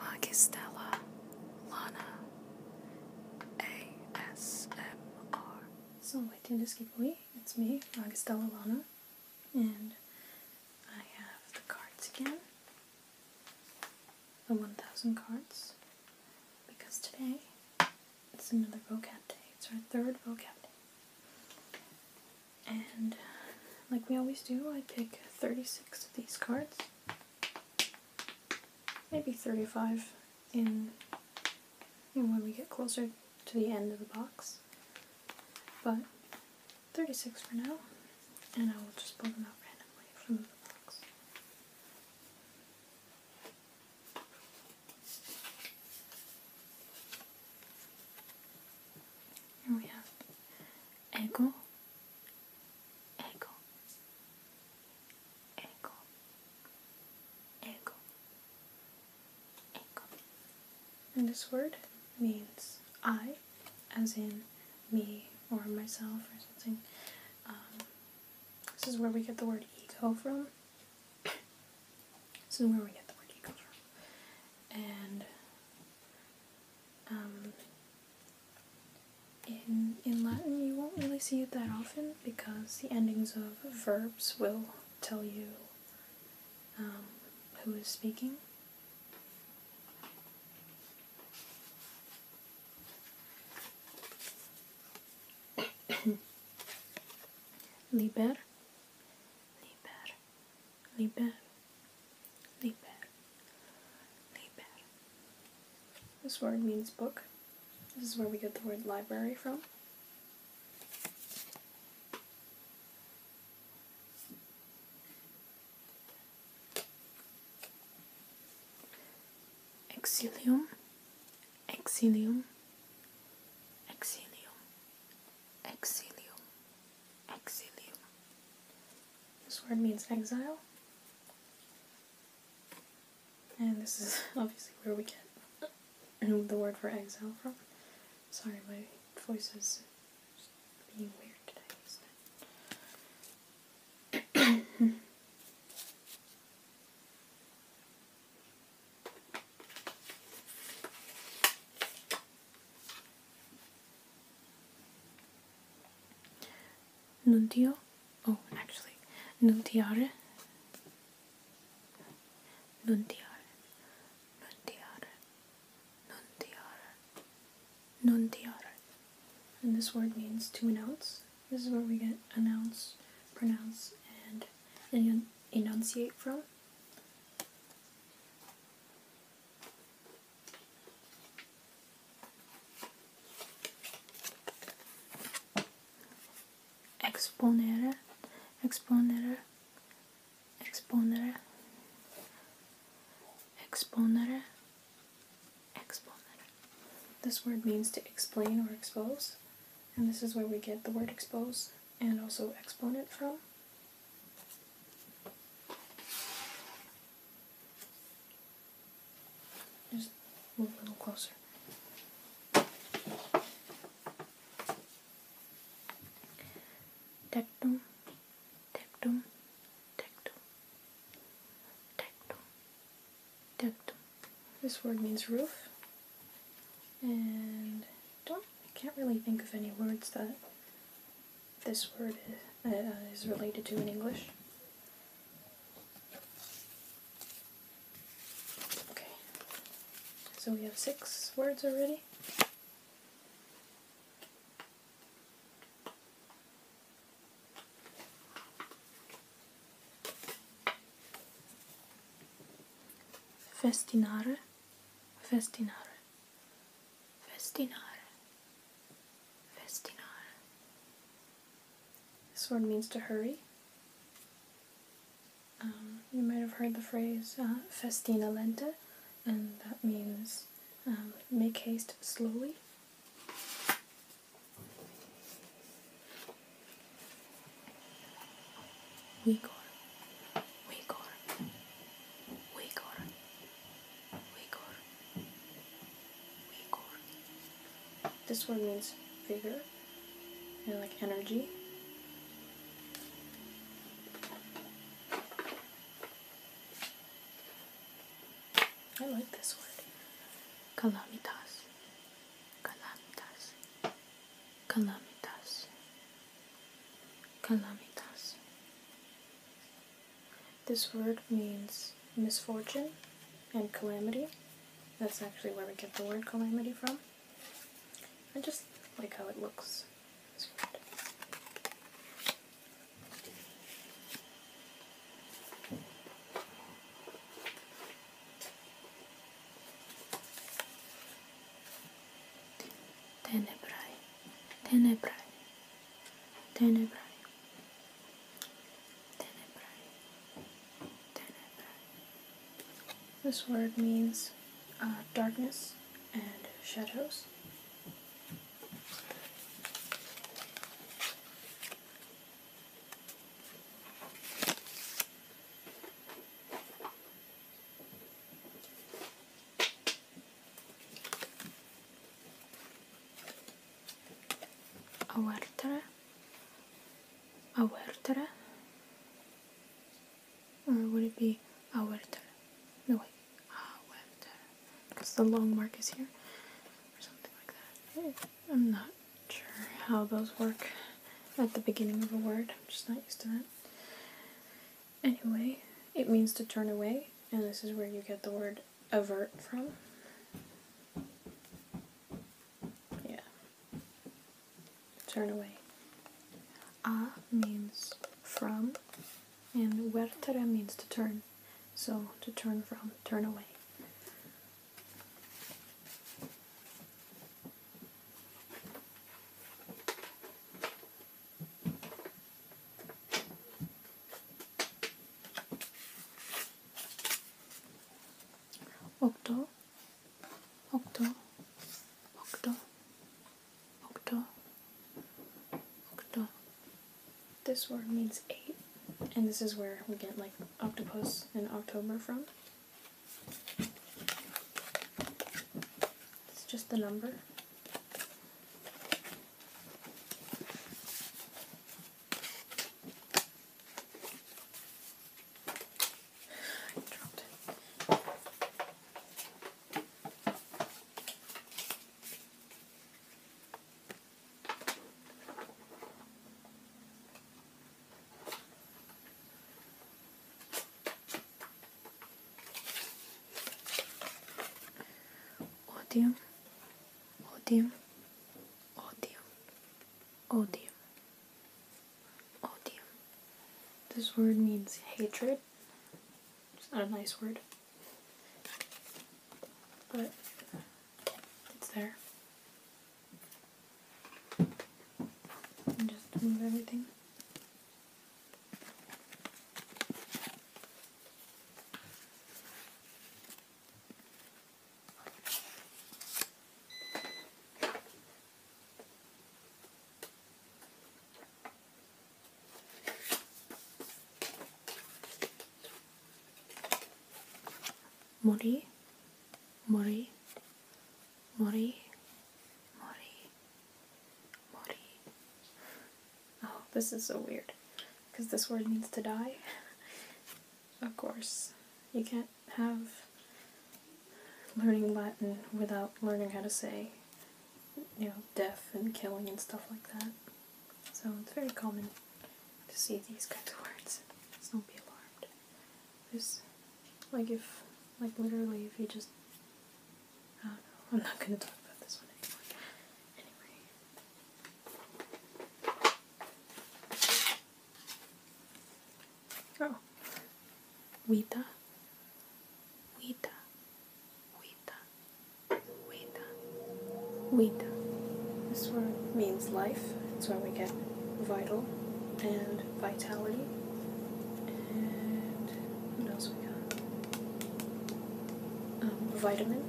Magistella Lana ASMR. So, my Tinder Skippy, it's me, Magistella Lana. And I have the cards again. The 1000 cards. Because today it's another vocab day. It's our third vocab day. And like we always do, I pick 36 of these cards. Maybe 35 in, in when we get closer to the end of the box. But 36 for now, and I will just pull them out randomly from the box. Here we have Ego, Ego, Ego, Ego, and this word means I, as in me or myself or something. Um, this is where we get the word ego from. this is where we get the word ego from. And um, in, in Latin, you won't really see it that often because the endings of verbs will tell you um, who is speaking. liber, liber, liber, liber, liber. This word means book. This is where we get the word library from. Exilium, exilium, exilium, exilium, exilium. This word means exile. And this is obviously where we get the word for exile from. Sorry, my voice is being weird today, is Oh, actually, Nuntiare? Nuntiare. Nuntiare. Nuntiara. Nuntiara. And this word means to announce. This is where we get announce, pronounce, and enun enunciate from. Exponere, exponere exponere, exponere, exponere. This word means to explain or expose, and this is where we get the word expose and also exponent from. Just move a little closer. Tectum, tectum, tectum, tectum, tectum. This word means roof, and don't I can't really think of any words that this word uh, is, related to in English. Okay, so we have six words already. Festinare, festinare, festinare, festinare. This word means to hurry. Um, you might have heard the phrase uh, festina lenta, and that means um, make haste slowly. Vigor, vigor, vigor, vigor, vigor. This one means vigor and like energy. I like this word. Calamitas. Calamitas. Calamitas. Calamitas. This word means misfortune and calamity. That's actually where we get the word calamity from. I just like how it looks. It's good. Tenebrae, tenebrae, tenebrae, this word means uh, darkness and shadows. أورترة أورترة or would it be Awerter? No, wait. Awerter. Because the long mark is here. Or something like that. I'm not sure how those work at the beginning of a word. I'm just not used to that. Anyway, it means to turn away. And this is where you get the word avert from. Yeah. Turn away. A means from, and vertere means to turn. So to turn from, turn away. Och Octo, octo, octo, octo. This word means eight, and this is where we get like octopus and October from. It's just the number. I dropped it. Odium, Odium. Oh, this word means hatred. It's not a nice word. But it's there. And just move everything. Mori, mori, mori, mori, 머리 Oh, this is so weird because this word needs to die. of course. You can't have learning Latin without learning how to say, you know, death and killing and stuff like that. So it's very common to see these kinds of words. do not be alarmed. There's, like, if, like, literally, if you just, I don't know, I'm not gonna talk about this one anymore. Anyway. Oh. vita, vita, vita, vita. This word means life. It's where we get vital and vitality. And what else we got? Um, vitamin.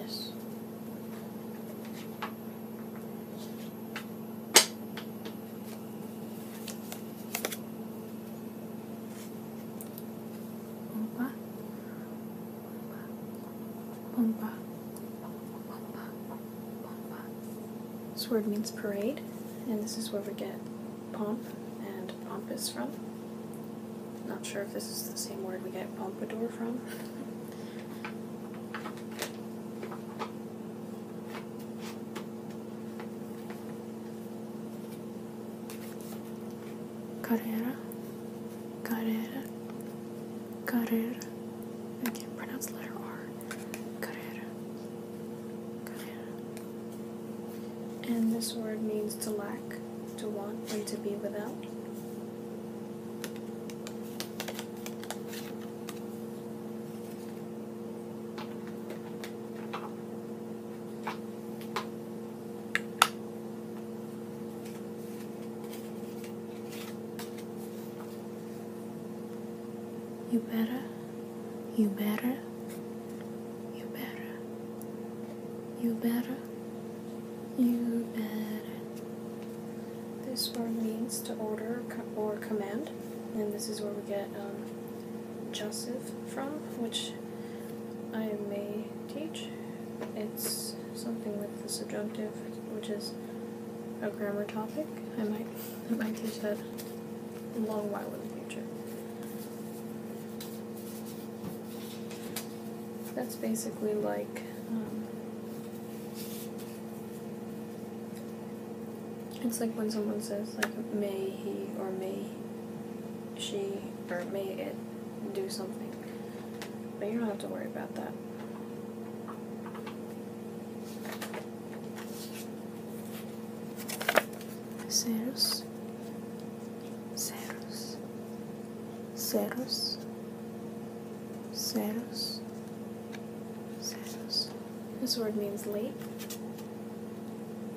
Yes bomba, bomba, bomba, bomba. This word means parade, and this is where we get pomp and pompous from. Not sure if this is the same word we get pompadour from. Carrera, Carrera, Carrera. I can't pronounce the letter R. Carrera, Carrera. And this word means to lack, to want, and to be without. You better, you better, you better, you better, you better, this word means to order or command, and this is where we get um, Joseph from, which I may teach. It's something with the subjunctive, which is a grammar topic. I might, might teach that a long while in the future. That's basically like um, it's like when someone says like may he or may she or may it do something. But you don't have to worry about that. Ceros. Ceros. Ceros. Saros. Saros. This word means lake.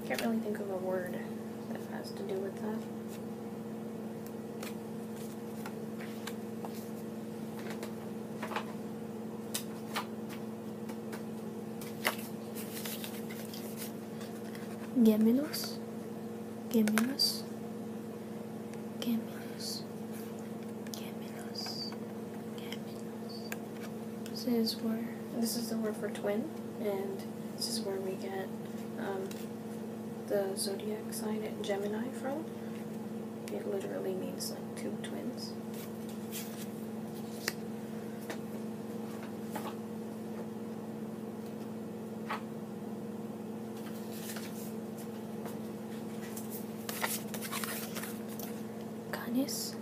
Can't really think of a word that has to do with that. Gemelos. Gemelos. Gemini. This is where this is the word for twin, and this is where we get um, the zodiac sign Gemini from. It literally means like two twins canis,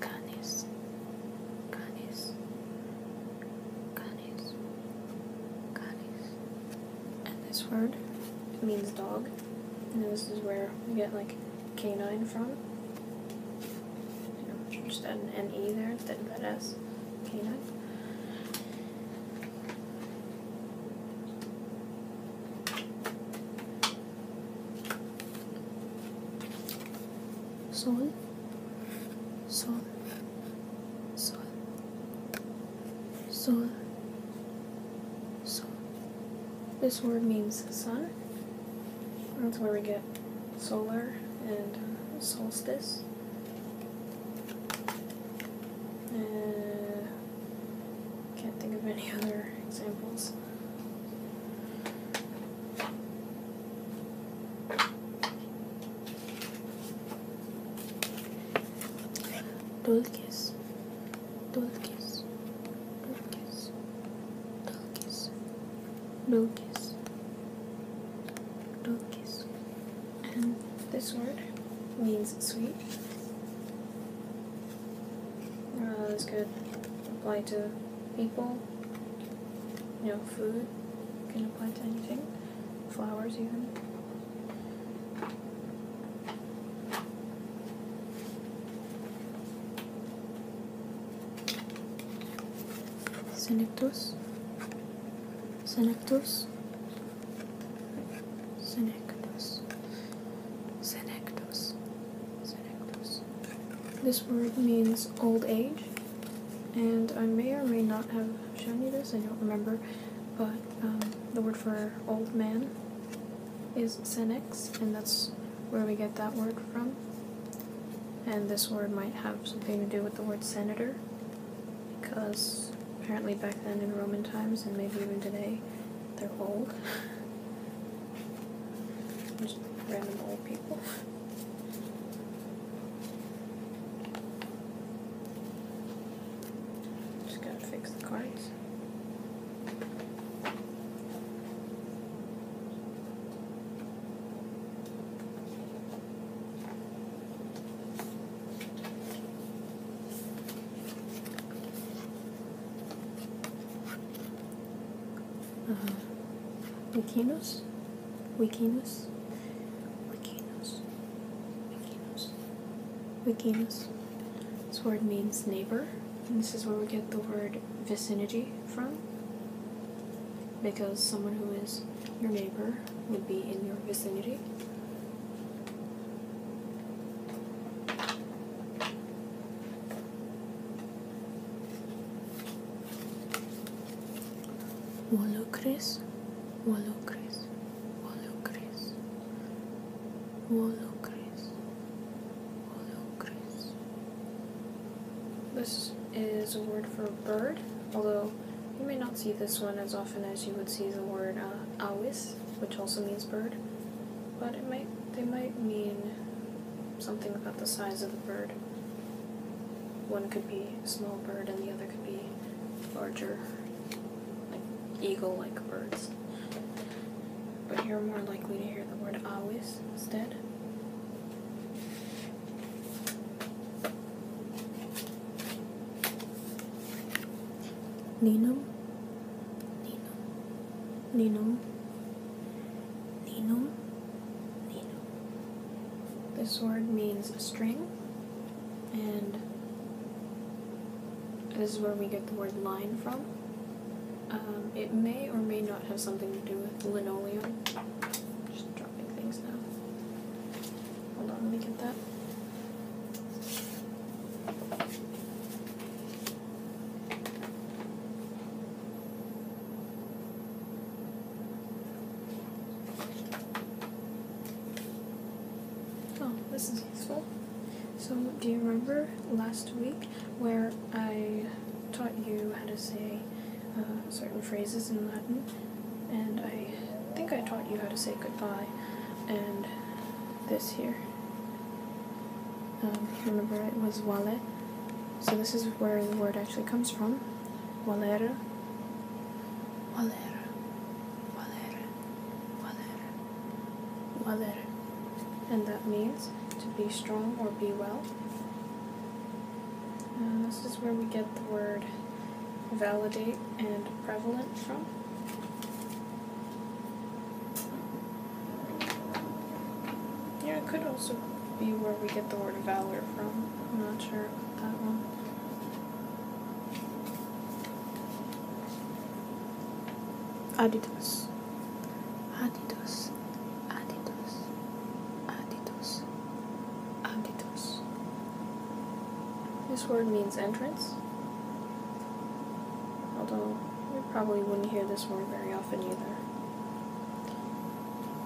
canis, canis, canis, canis. And this word means dog, and this is where we get like canine from. just add an N E there instead of an S. Canine sol, sol, sol, sol, sol. This word means sun. That's where we get solar and uh, solstice. And can't think of any other examples. Dulces, dulces, dulces, dulces, dulces, dulces and this word means sweet. Uh, this could apply to people, you know, food, can apply to anything, flowers even. Senectus. Senectus Senectus. Senectus. Senectus. This word means old age, and I may or may not have shown you this, I don't remember, but um, the word for old man is senex, and that's where we get that word from. And this word might have something to do with the word senator, because apparently back then in Roman times and maybe even today, they're old. Just random old people. Just gotta fix the cards. Uh, Wikinos? Wikinos? Wikinos. Wikinos. Wikinos. This word means neighbor, and this is where we get the word vicinity from. Because someone who is your neighbor would be in your vicinity. Wolucris, Wolucris, Wolucris, Wolucris, Wolucris. This is a word for bird, although you may not see this one as often as you would see the word uh, awis, which also means bird, but it might they might mean something about the size of the bird. One could be a small bird and the other could be larger, like eagle-like birds. But you're more likely to hear the word awis instead. Ninum, Ninum, Ninum, Ninum, Ninum. This word means string, and this is where we get the word line from. Um, it may or may not have something to do with linoleum dropping things now. Hold on, let me get that. Oh, this is useful. So, do you remember last week where I taught you how to say uh, certain phrases in Latin? and I think I taught you how to say goodbye and this here. Um, remember it was wale. So this is where the word actually comes from. Walera. Walera. Walera. Walera. Walera. And that means to be strong or be well. And this is where we get the word validate and prevalent from. Yeah, it could also be where we get the word valor from. I'm not sure that one. Adidas. Adidas. Adidas. Adidas. Aditus. This word means entrance, although we probably wouldn't hear this word very often either.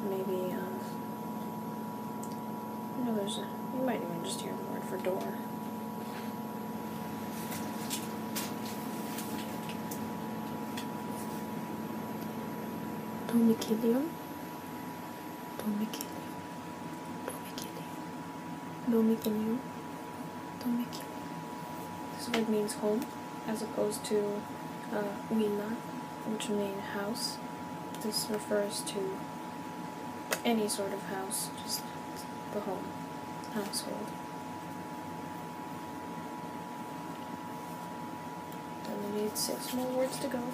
Maybe, um, you there's a, you might even just hear the word for door. Don't be Domicilium don't be killing Don't be killing Don't be killing Don't be killing This word means home as opposed to uh, Wina, which means house. This refers to any sort of house, just the home, household. Then we need six more words to go.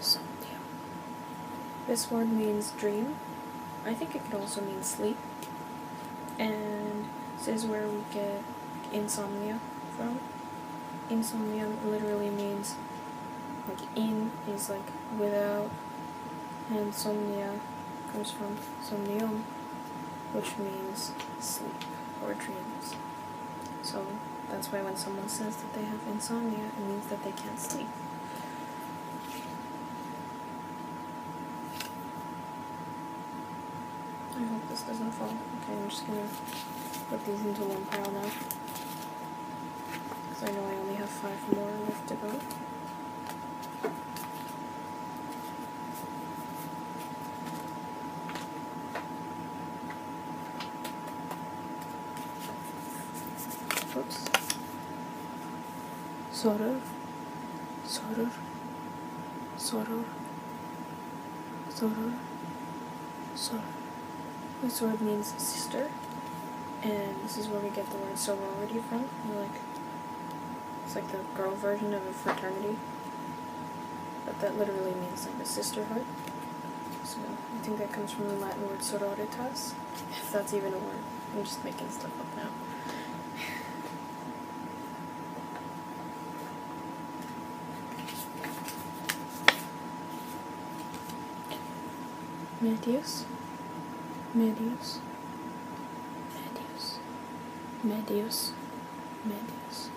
Somnium. This word means dream. I think it could also mean sleep. And this is where we get insomnia from. Insomnia literally means like in is like without and insomnia comes from somnium which means sleep or dreams. So that's why when someone says that they have insomnia, it means that they can't sleep. I hope this doesn't fall. Okay, I'm just gonna put these into one pile now. Because I know I only have five more left to go. Oops. Soror. Soror. Soror. Soror. Soror. This word means sister. And this is where we get the word sorority from. like it's like the girl version of a fraternity. But that literally means like a sisterhood. I think that comes from the Latin word sororitas, if that's even a word. I'm just making stuff up now. Medius, Medius, Medius, Medius, Medius.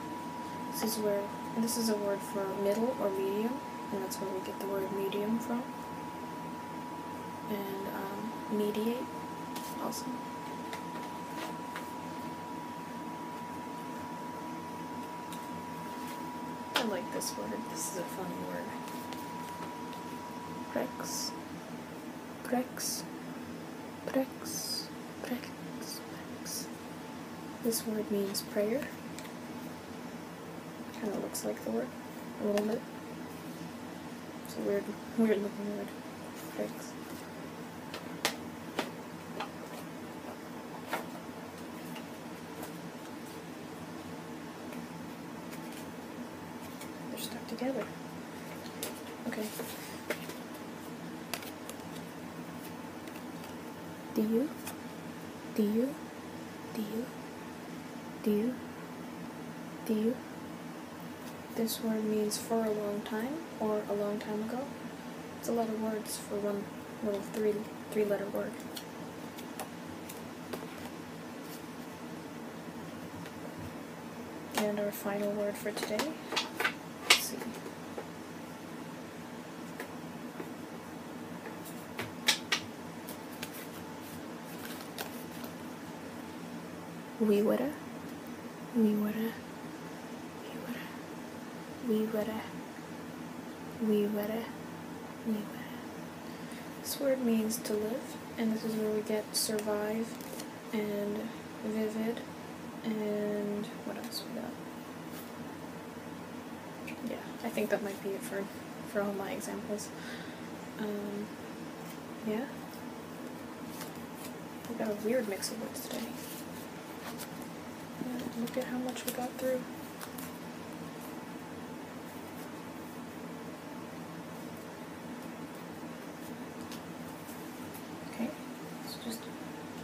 This is where, this is a word for middle or medium, and that's where we get the word medium from and um, mediate also. I like this word. This is a funny word. Prex. Prex. Prex. Prex. Prex. This word means prayer. Kind of looks like the Thor a little bit. It's a weird, weird looking wood. Thanks. They're stuck together. Okay. Do you? Do you? Do you? Do you? Do you? This word means for a long time or a long time ago. It's a lot of words for one little three three letter word. And our final word for today. Let's see. We woulda, we woulda, we woulda, we woulda, we woulda, we would This word means to live, and this is where we get survive and vivid and what else we got? yeah, I think that might be it for, for all my examples. Um, yeah. We got a weird mix of words today. Uh, look at how much we got through. Okay, let's just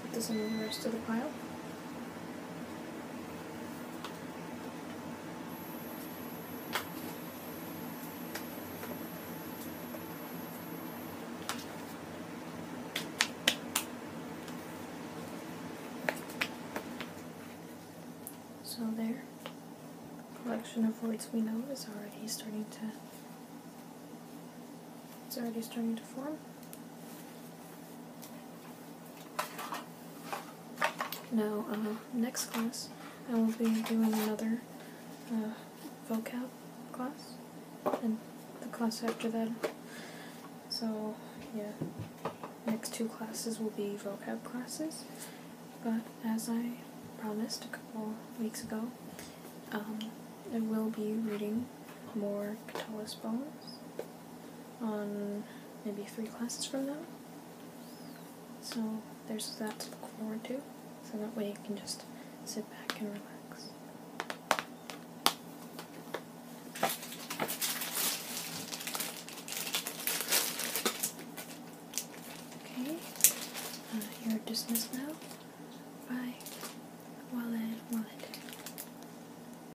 put this in the rest of the pile. So there, collection of words we know is already starting to it's already starting to form. Now, uh-huh. next class, I will be doing another uh, vocab class, and the class after that. So, yeah, next two classes will be vocab classes, but as I promised a couple weeks ago, um, I will be reading more Catullus poems on maybe three classes from now. So there's that to look forward to. So that way you can just sit back and relax. Okay, uh, you're dismissed now. Bye. Wallet, wallet.